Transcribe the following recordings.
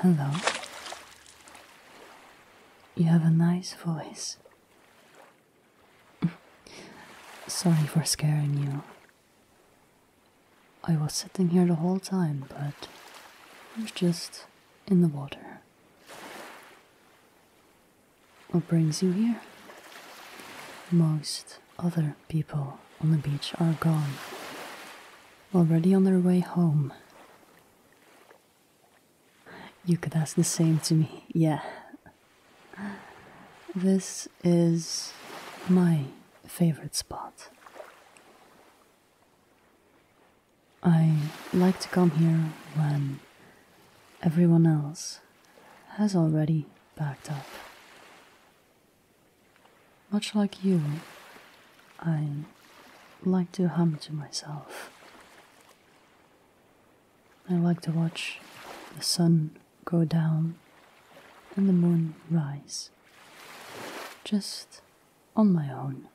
Hello. You have a nice voice. Sorry for scaring you. I was sitting here the whole time, but I was just in the water. What brings you here? Most other people on the beach are gone, already on their way home. You could ask the same to me, yeah. This is my favorite spot. I like to come here when everyone else has already backed up. Much like you, I like to hum to myself. I like to watch the sun go down and the moon rise, just on my own.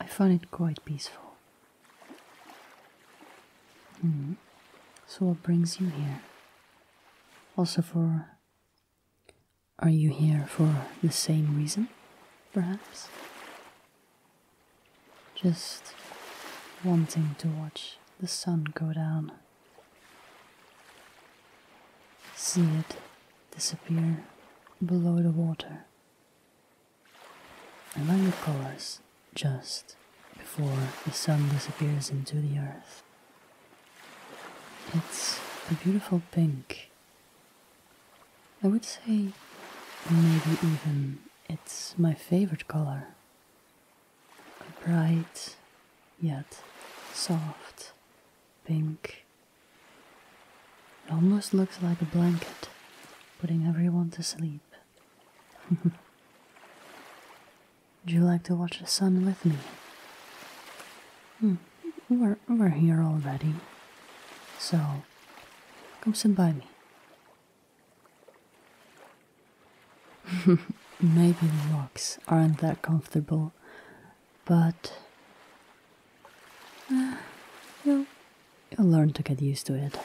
I find it quite peaceful. Hmm. So, what brings you here? Also, for. Are you here for the same reason, perhaps? Just wanting to watch the sun go down, see it disappear below the water, and then the colors just before the sun disappears into the earth. It's a beautiful pink I would say maybe even it's my favorite color. A bright yet soft pink. It almost looks like a blanket, putting everyone to sleep. Would you like to watch the sun with me? Hmm, we're, we're here already. So, Come sit by me. Maybe the rocks aren't that comfortable, but uh, you'll learn to get used to it.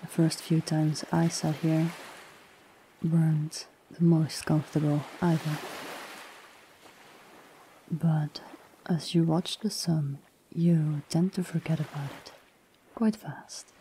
The first few times I sat here weren't the most comfortable either. But as you watch the sun, you tend to forget about it quite fast.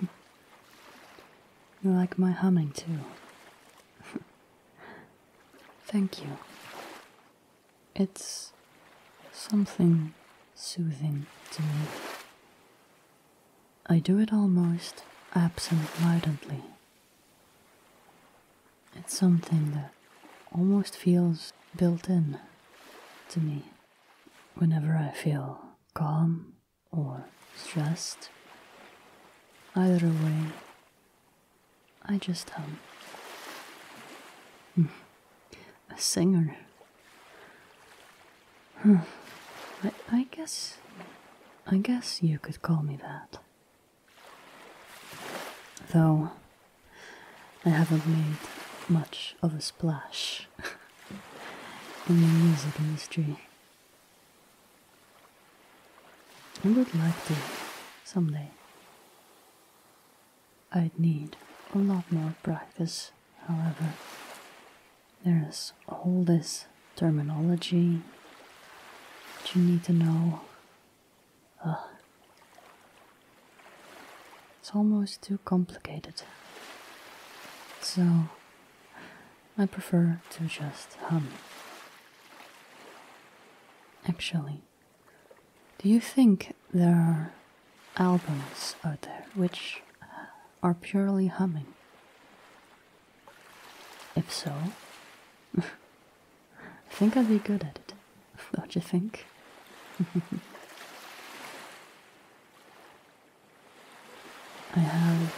You like my humming too. Thank you. It's something soothing to me. I do it almost absent It's something that almost feels built in to me. Whenever I feel calm or stressed. Either way, I just hum. Hmm. A singer. I guess. I guess you could call me that. Though, I haven't made much of a splash. in the music industry. I would like to someday. I'd need a lot more practice, however. There's all this terminology that you need to know. Ugh. It's almost too complicated. So I prefer to just hum. Actually, do you think there are albums out there which are purely humming? If so, I think I'd be good at it, don't you think? I have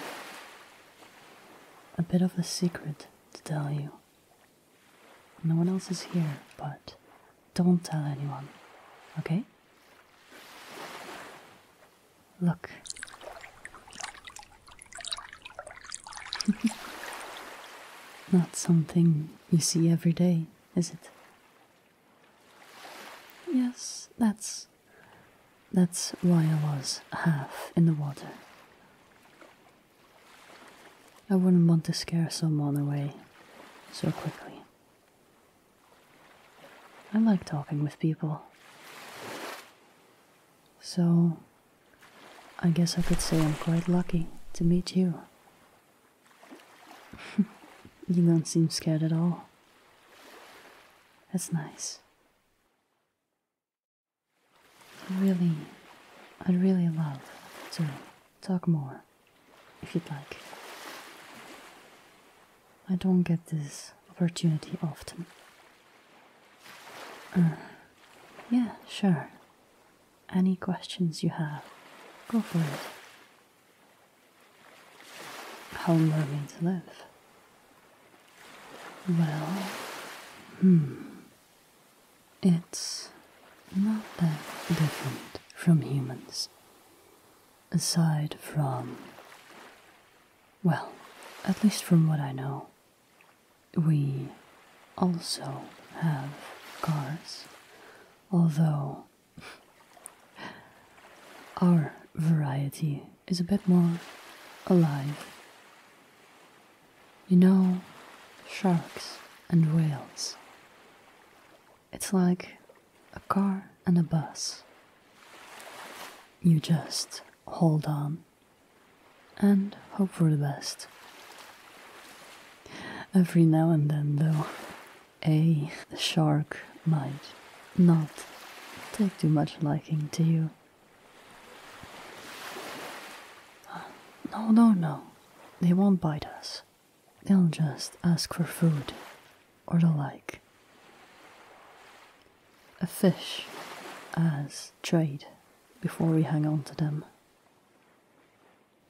a bit of a secret to tell you. No one else is here, but don't tell anyone, okay? Look. Not something you see every day, is it? Yes, that's. That's why I was half in the water. I wouldn't want to scare someone away so quickly. I like talking with people. So, I guess I could say I'm quite lucky to meet you. you don't seem scared at all. That's nice. I really, I'd really love to talk more, if you'd like. I don't get this opportunity often. Uh, yeah, sure. Any questions you have, go for it. How homerooming to live? Well, hmm, it's not that different from humans. Aside from, well, at least from what I know, we also have cars, although our variety is a bit more alive. You know, sharks and whales. It's like a car and a bus. You just hold on and hope for the best. Every now and then, though, a shark might not take too much liking to you. No, no, no. They won't bite us. They'll just ask for food or the like. A fish as trade before we hang on to them.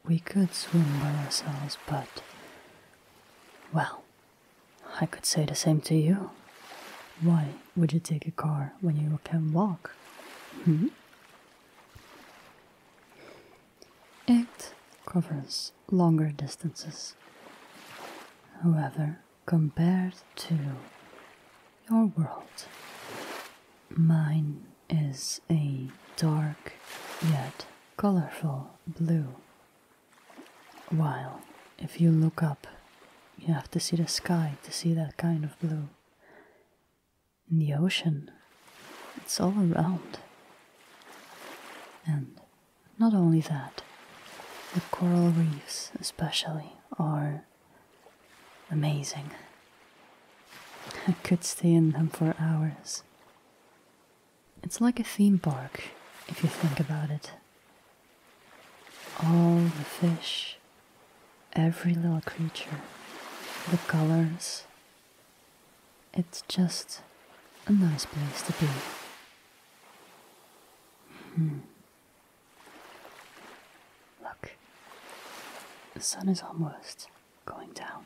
We could swim by ourselves, but. Well, I could say the same to you. Why would you take a car when you can walk? Hmm? It covers longer distances. However, compared to your world, Mine is a dark yet colorful blue. While if you look up, you have to see the sky to see that kind of blue. In the ocean, it's all around. And not only that, the coral reefs, especially, are amazing. I could stay in them for hours. It's like a theme park, if you think about it. All the fish, every little creature, the colors. It's just a nice place to be. Hmm. Look, the sun is almost going down.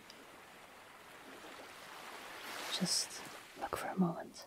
Just look for a moment.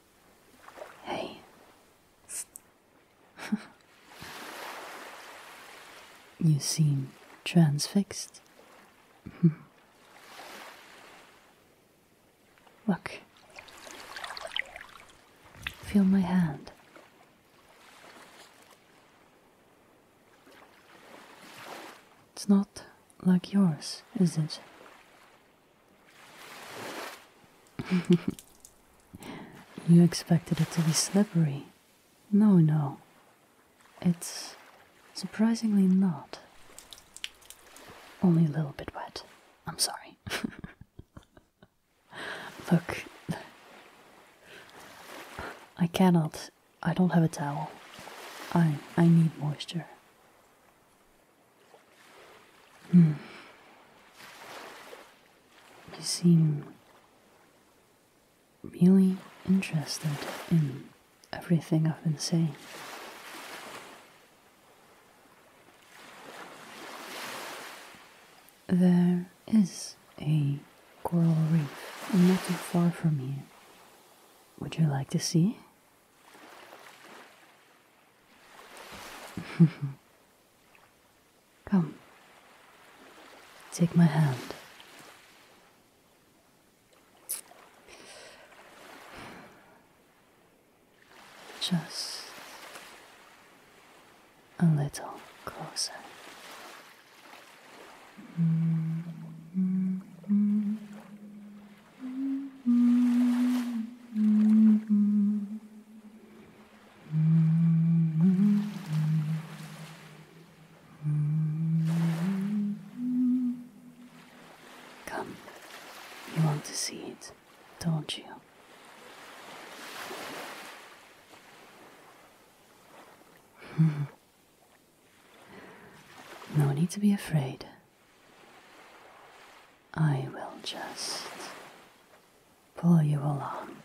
Hey. you seem transfixed. Look. Feel my hand. It's not like yours, is it? you expected it to be slippery. No, no. It's surprisingly not. Only a little bit wet. I'm sorry. Look. I cannot. I don't have a towel. I I need moisture. Hmm. You seem really interested in everything I've been saying. There is a coral reef not too far from here. Would you like to see? Come, take my hand. Just a little closer. Mm-hmm. Come, you want to see it, don't you? Hmm. No need to be afraid. I will just pull you along.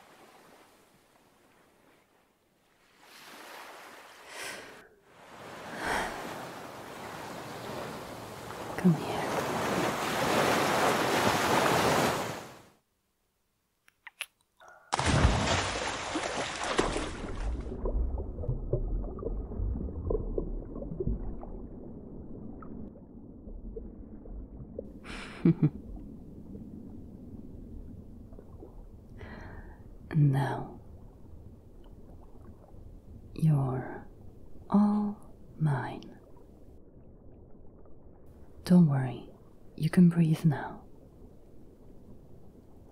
Come here. now you're all mine. Don't worry, you can breathe now.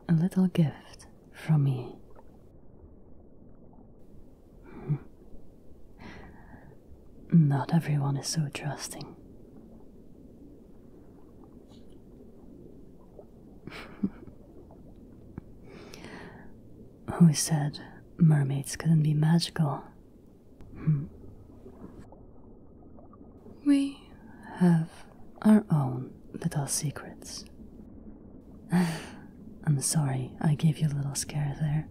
A little gift from me. Hmm. Not everyone is so trusting. Who said mermaids couldn't be magical? Hmm. We have our own little secrets. I'm sorry I gave you a little scare there.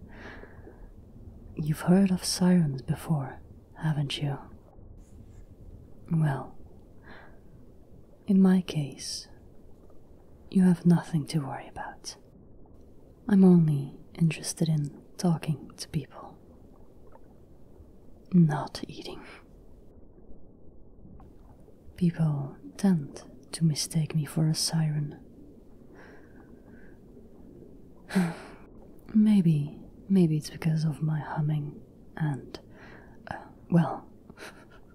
You've heard of sirens before, haven't you? Well, in my case, you have nothing to worry about. I'm only interested in talking to people, not eating. People tend to mistake me for a siren. maybe, maybe it's because of my humming and, uh, well,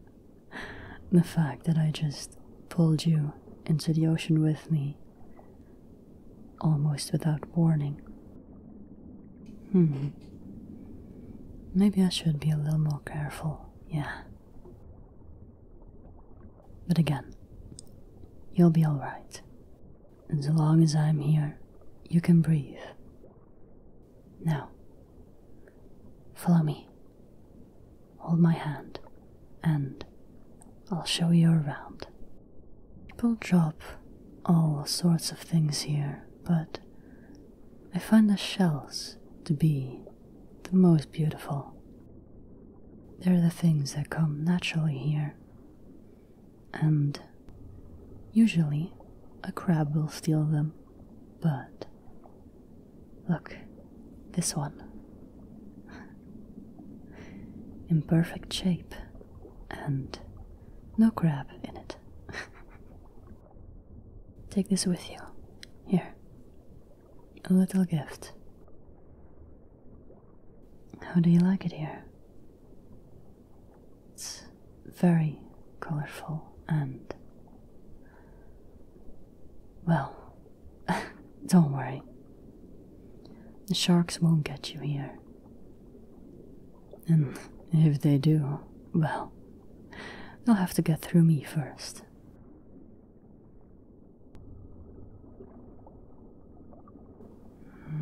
the fact that I just pulled you into the ocean with me almost without warning. Hmm. Maybe I should be a little more careful, yeah. But again, you'll be alright. As long as I'm here, you can breathe. Now, follow me. Hold my hand, and I'll show you around. People drop all sorts of things here, but I find the shells to be the most beautiful. They're the things that come naturally here. And usually a crab will steal them, but look, this one. In perfect shape and no crab in it. Take this with you. Here. A little gift. How do you like it here? It's very colorful and. Well, don't worry. The sharks won't get you here. And if they do, well, they'll have to get through me first.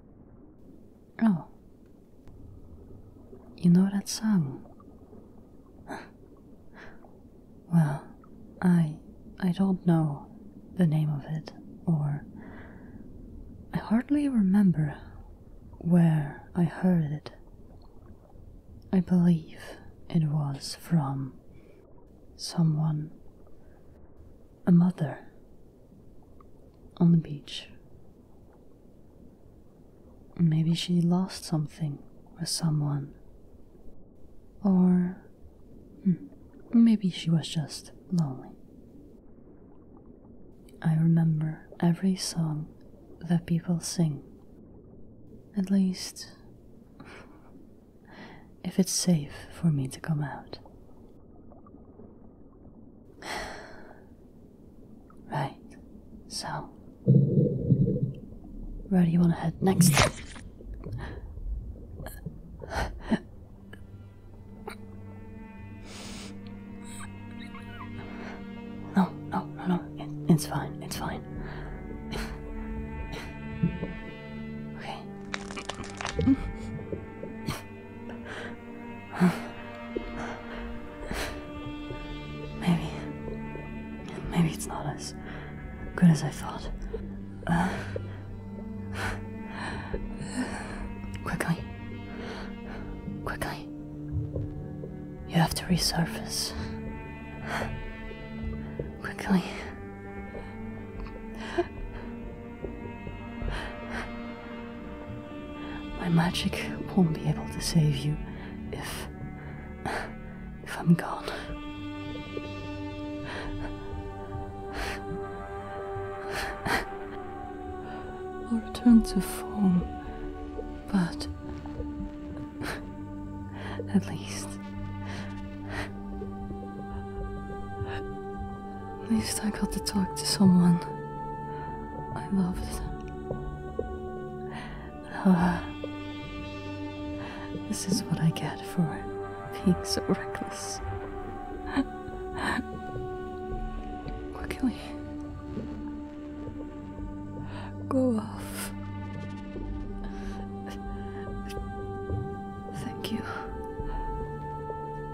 Oh. You know that song? well, I I don't know the name of it or I hardly remember where I heard it. I believe it was from someone a mother on the beach. Maybe she lost something or someone. Or hmm, maybe she was just lonely. I remember every song that people sing. At least, if it's safe for me to come out. Right, so where do you want to head next? No, no, no, no, it's fine, it's fine. Okay. Maybe. Maybe it's not as good as I thought. Uh, quickly. Quickly. You have to resurface. Quickly. My magic won't be able to save you if. if I'm gone. Or turn to form, but. at least. At least I got to talk to someone I loved. Uh, this is what I get for being so reckless. Quickly. Go off. Thank you.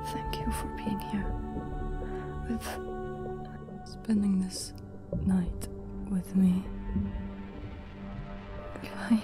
Thank you for being here. With. spending this night with me. Goodbye.